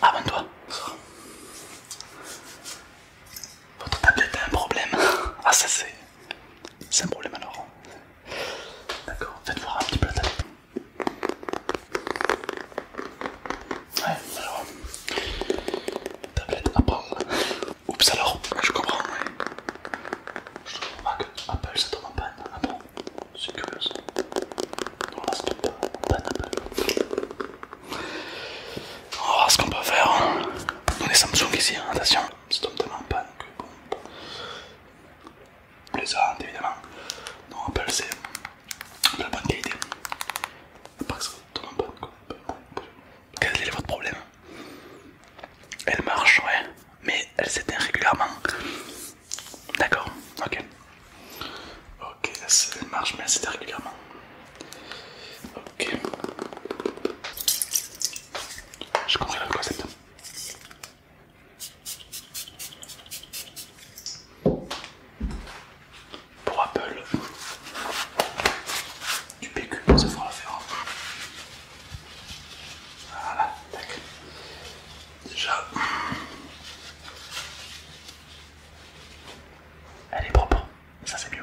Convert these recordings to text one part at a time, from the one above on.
Abonne-toi. Votre tablette a un problème. Ah ça c'est... C'est un problème alors. D'accord, faites voir un petit peu la tablette. Ouais, alors... Tablette Apple. Oups alors, je comprends, Je comprends pas que Apple ça tombe en panne. Ah c'est curieux On va voir ce qu'on peut faire. Hein. On est Samsung ici, hein, attention. C'est totalement de pas bon. les a évidemment. Non, Apple c'est de la bonne qualité. ça Quel est votre problème Elle marche, ouais, mais elle s'éteint régulièrement. D'accord, ok. Ok, ça marche mais assez régulièrement. Ok. Je comprends la concept. Pour Apple, du PQ, ça le faire hein. Voilà, tac. Déjà. Elle est propre, ça c'est mieux.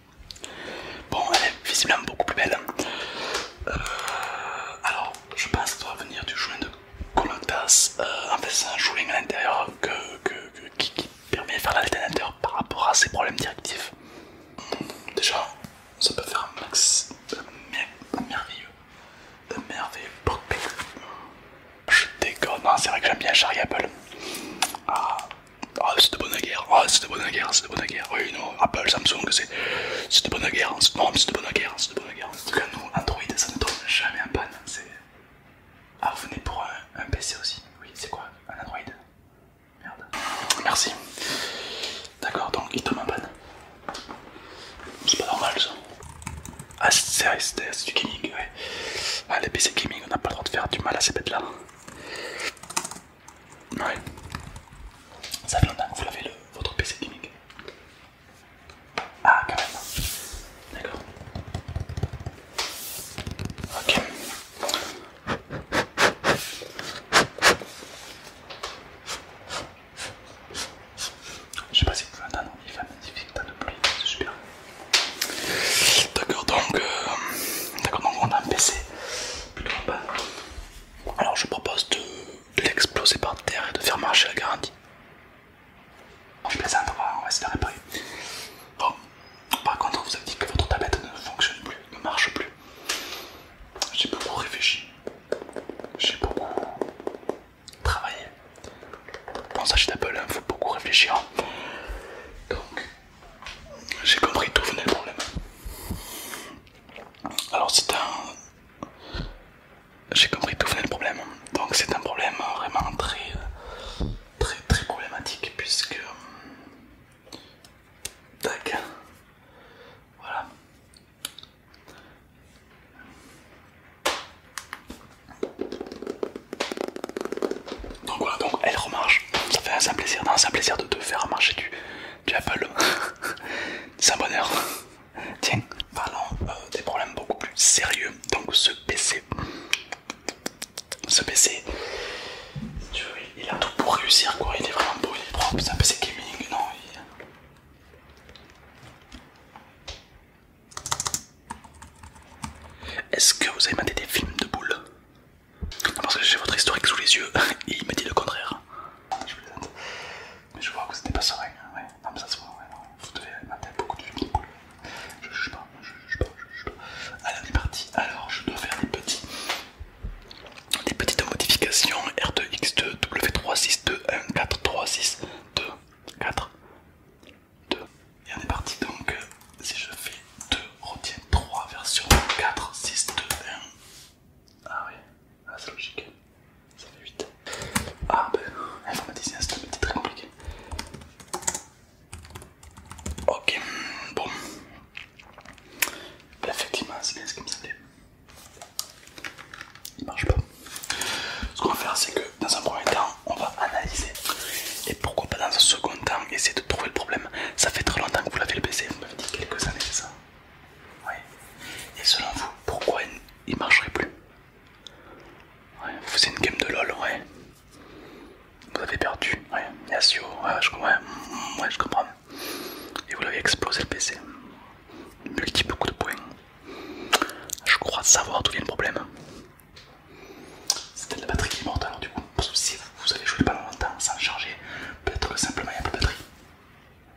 Bon, elle est visiblement beaucoup plus belle. Euh, alors, je pense que ça doit venir du joint de Colotas. Euh, en fait, c'est un joint à l'intérieur qui, permet de faire l'alternateur par rapport à ses problèmes directifs. Déjà, ça peut faire un max de merveilleux, merveilleux Je déconne, hein, c'est vrai que j'aime bien Charlie Apple. Ah, ah, c'est de bonne guerre, ah, c'est de bonne guerre, c'est de bonne guerre. Oui, non, Apple, Samsung, c'est de bonne guerre. Non, c'est de bonne guerre, c'est de bonne guerre. En tout Android, ça ne tombe jamais en panne. Ah, vous venez pour un, PC aussi Oui, c'est quoi Un Android Merde. Merci. D'accord, donc il tombe en panne. C'est pas normal ça. Ah, c'est du gaming, ouais. Ah, les PC gaming, on n'a pas le droit de faire du mal à ces bêtes là. Ouais. Ça longtemps que vous l'avez le, votre PC gimmick Ah, quand même. D'accord. Ok. Je sais pas si vous entendre il fait un magnifique tas de pluie, c'est super. D'accord, donc, euh, d'accord donc on a un PC plutôt bah. Alors je propose de, l'exploser par terre et de faire marcher la garantie. Oh, on plaisante, on va, essayer de réparer. par contre, vous avez dit que votre tablette ne fonctionne plus, ne marche plus. J'ai beaucoup réfléchi, j'ai beaucoup travaillé. Bon ça Apple. il faut beaucoup réfléchir. Hein. Donc, j'ai compris tout venait le problème. Alors c'est un... J'ai compris tout venait le problème. Donc c'est un problème vraiment très très très problématique puisque... Tac. Voilà. Donc voilà, donc elle remarche. Ça fait un simple plaisir, un plaisir de te faire marcher du, Apple. C'est un bonheur. Tiens, parlons euh, des problèmes beaucoup plus sérieux. Donc ce PC, ce PC, il a tout pour réussir Il est vraiment beau, il est propre. C'est un PC gaming, non est-ce que vous avez maté des films de boules Parce que j'ai votre historique sous les yeux et il me dit le contraire. Je Mais je vois que c'était pas serein. vous devez mater beaucoup de films de boules. Je juge pas, je juge juge pas. Allez on est parti. Alors je dois faire des petites modifications R2X2 2 w 3 6 2 1 4 3 6 2 4 2. Et on est parti donc, euh, si je fais 2, retiens 3 version 4, 6, 2, 1. Ah oui, ah, c'est logique, ça fait 8. Ah ben, informaticien c'est un petit très compliqué. Ok, bon. Ben, effectivement, c'est bien ce qui me semblait. Il marche pas. Ce qu'on va faire, c'est que dans un premier temps, on va analyser. Et pourquoi pas dans un second temps, essayer de trouver le problème. Ça fait très longtemps que vous l'avez le PC, vous m'avez dit quelques années, c'est ça Oui. Et selon vous, pourquoi il ne marcherait plus vous faisiez une game de LOL, ouais. Vous avez perdu, ouais. Yasio, ouais, je, mm, je comprends. Et vous l'avez explosé le PC. Multiple coup de poing. Je crois savoir d'où vient le problème. C'était la batterie qui est morte alors du coup, si vous, avez joué pas longtemps sans charger, peut-être que simplement il n'y a plus de batterie.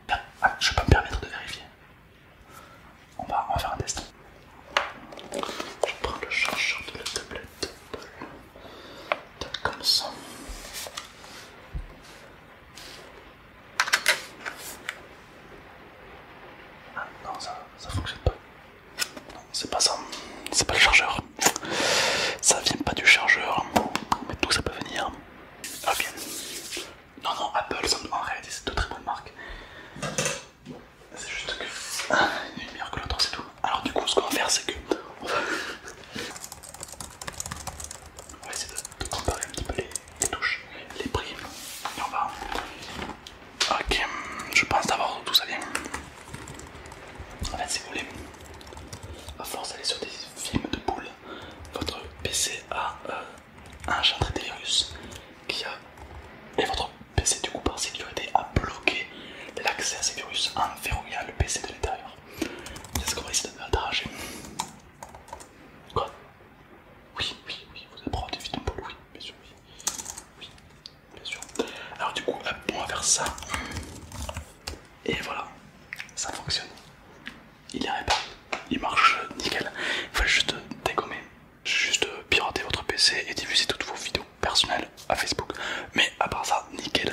Ah, ah, je ne je pas me permettre de vérifier. On va, en faire un test. Je prends le chargeur de la tablette. Comme ça. Ah, non, ça, ça fonctionne pas. Non, c'est pas ça. C'est pas le chargeur. Ça vient pas du chargeur. Mais d'où ça peut venir Ah, bien. Non, non, Apple, en réalité, c'est de très bonnes marques. C'est juste que une ah, est meilleure que l'autre, c'est tout. Alors, du coup, ce qu'on va faire, c'est que. On va essayer de comparer un petit peu les, les touches, les prix. Et on va. Ok, je pense d'avoir tout ça bien. En fait, si vous voulez, à force d'aller sur des films de boules, votre PC a enchanté euh, des virus qui a. Et votre PC, du coup, par sécurité, a bloqué l'accès à ces virus en verrouillant le PC de l'intérieur. C'est ce qu'on va essayer de arranger. Quoi oui, oui, oui, vous vite des vidéos oui, bien sûr, oui. Oui, bien sûr. Alors du coup, hop, on va faire ça. Et voilà, ça fonctionne. Il arrive pas, il marche nickel. Il faut juste dégommer, juste pirater votre PC et diffuser toutes vos vidéos personnelles à Facebook. Mais à part ça, nickel.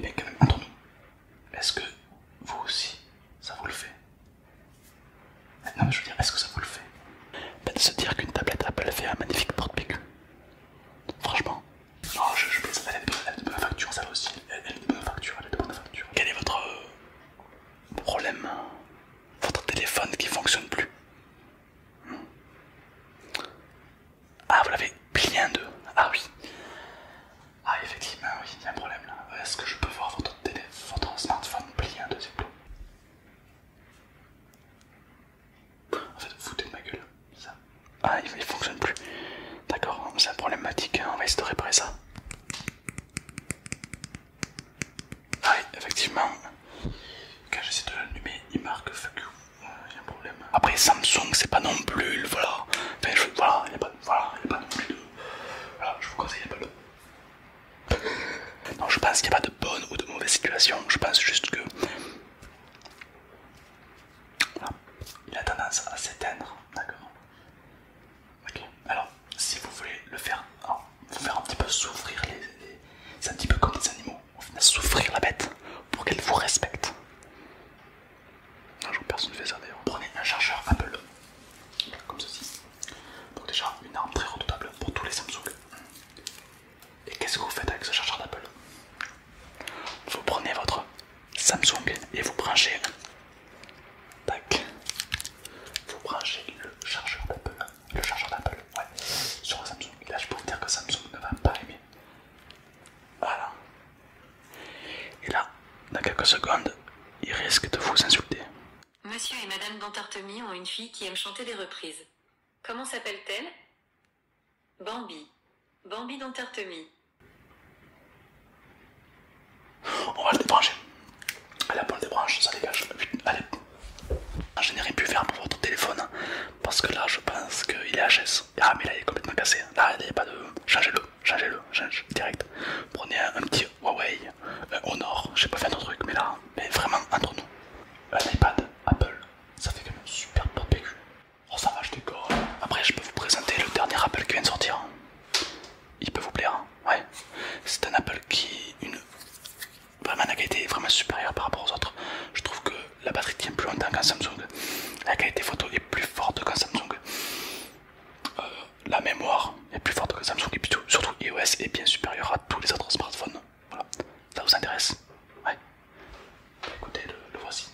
Mais quand même, nous est-ce que vous aussi, ça vous le fait non mais je veux dire, est-ce que ça vous le fait Peut-être se dire qu'une tablette Apple fait un magnifique porte-PQ. Franchement. Non, je, elle est de bonne facture, ça aussi. Elle est de bonne facture, elle de facture. Quel est votre euh, problème hein? Votre téléphone qui fonctionne plus hmm? Ah, vous l'avez bien deux Ah oui. Ah effectivement, oui, il y a un problème là. Euh, est-ce que je peux voir votre votre, smartphone plié un deuxième plat. En fait, foutez de ma gueule. Ça. Ah, il, fonctionne plus. D'accord, hein, c'est problématique, hein, on va essayer de réparer ça. Ah effectivement. Quand j'essaie de l'allumer, il marque fuck you. Il euh, y a un problème. Après, Samsung, c'est pas non plus. Voilà, enfin, je, voilà, il n'y a, voilà, a pas non plus de. Voilà, je vous conseille, il pas le. Non, je pense qu'il n'y a pas de bonne ou de mauvaise situation. Je pense juste que il a tendance à s'éteindre. D'accord. Ok. Alors, si vous voulez le faire, vous faire un petit peu souffrir les, c'est un petit peu comme des animaux. souffrir la bête pour qu'elle vous respecte personne ne fait ça d'ailleurs. Prenez un chargeur Apple, comme ceci. Donc déjà une arme très redoutable pour tous les Samsung. Et qu'est-ce que vous faites avec ce chargeur d'Apple Vous prenez votre Samsung et vous branchez. Tac. Vous branchez le chargeur d'Apple. Le chargeur d'Apple, ouais. Sur le Samsung. là je peux vous dire que Samsung ne va pas aimer. Voilà. Et là, dans quelques secondes, il risque de vous insulter. Monsieur et Madame Dantartemi ont une fille qui aime chanter des reprises. Comment s'appelle-t-elle Bambi. Bambi Dantartemi. On va le débrancher. Allez, on le débranche, ça dégage. Allez. Je n'ai rien pu faire pour votre téléphone parce que là, je pense qu'il est HS. Ah, mais là, il est complètement cassé. Là, il n'y a pas de. Changez-le changez-le, change direct. Prenez un, petit Huawei, un euh, Honor, j'ai pas fait un autre truc, mais là, mais vraiment entre nous, un iPad Apple, ça fait quand même super porte PQ. Oh ça va, je décore. Après, je peux vous présenter le dernier Apple qui vient de sortir. Il peut vous plaire, hein. ouais. C'est un Apple qui une vraiment la qualité est vraiment supérieure par rapport aux autres. Je trouve que la batterie tient plus longtemps qu'un Samsung. La qualité photo est plus forte qu'un Samsung. Euh, la mémoire est plus forte que Samsung et surtout iOS est bien supérieur à tous les autres smartphones. Voilà, ça vous intéresse Ouais. Écoutez, le, voici.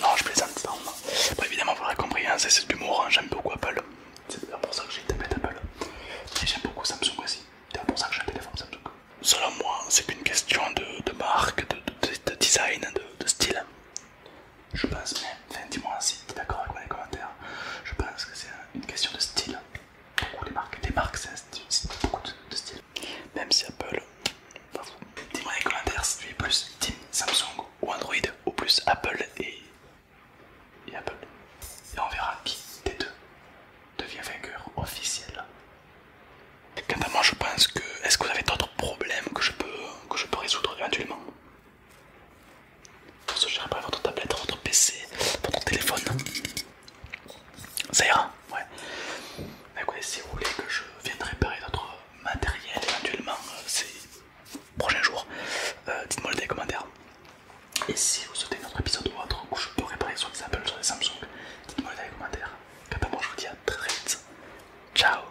Non, je plaisante. Non, normal évidemment, vous l'avez compris, hein, c'est de l'humour. Hein. j'aime beaucoup Apple. C'est pour ça que j'ai tapé Apple. Et j'aime beaucoup Samsung aussi. C'est pour ça que j'ai un téléphone Samsung selon moi, c'est qu'une question de, marque, de, design, de, style. Je pense, même. enfin, dis-moi si tu es d'accord avec moi les commentaires. Je pense que c'est une question de style. Beaucoup les marques, les marques c'est beaucoup de, style. Même si Apple, dis-moi les commentaires si tu es plus Team Samsung ou Android ou plus Apple et, et Apple. Et on verra qui des deux devient vainqueur officiel Quant à moi, je pense que. Est-ce que vous avez d'autres problèmes que je peux, résoudre éventuellement Pour ce, je votre tablette, votre PC, votre téléphone. Ça ira Ouais. si vous voulez que je vienne réparer d'autres matériels éventuellement euh, ces prochains jours, euh, dites-moi le dans les commentaires. Et si vous souhaitez un autre épisode ou autre où je peux réparer sur Apple, sur des Samsung, dites-moi le dans les commentaires. Eh ben, moi, je vous dis à très vite. Ciao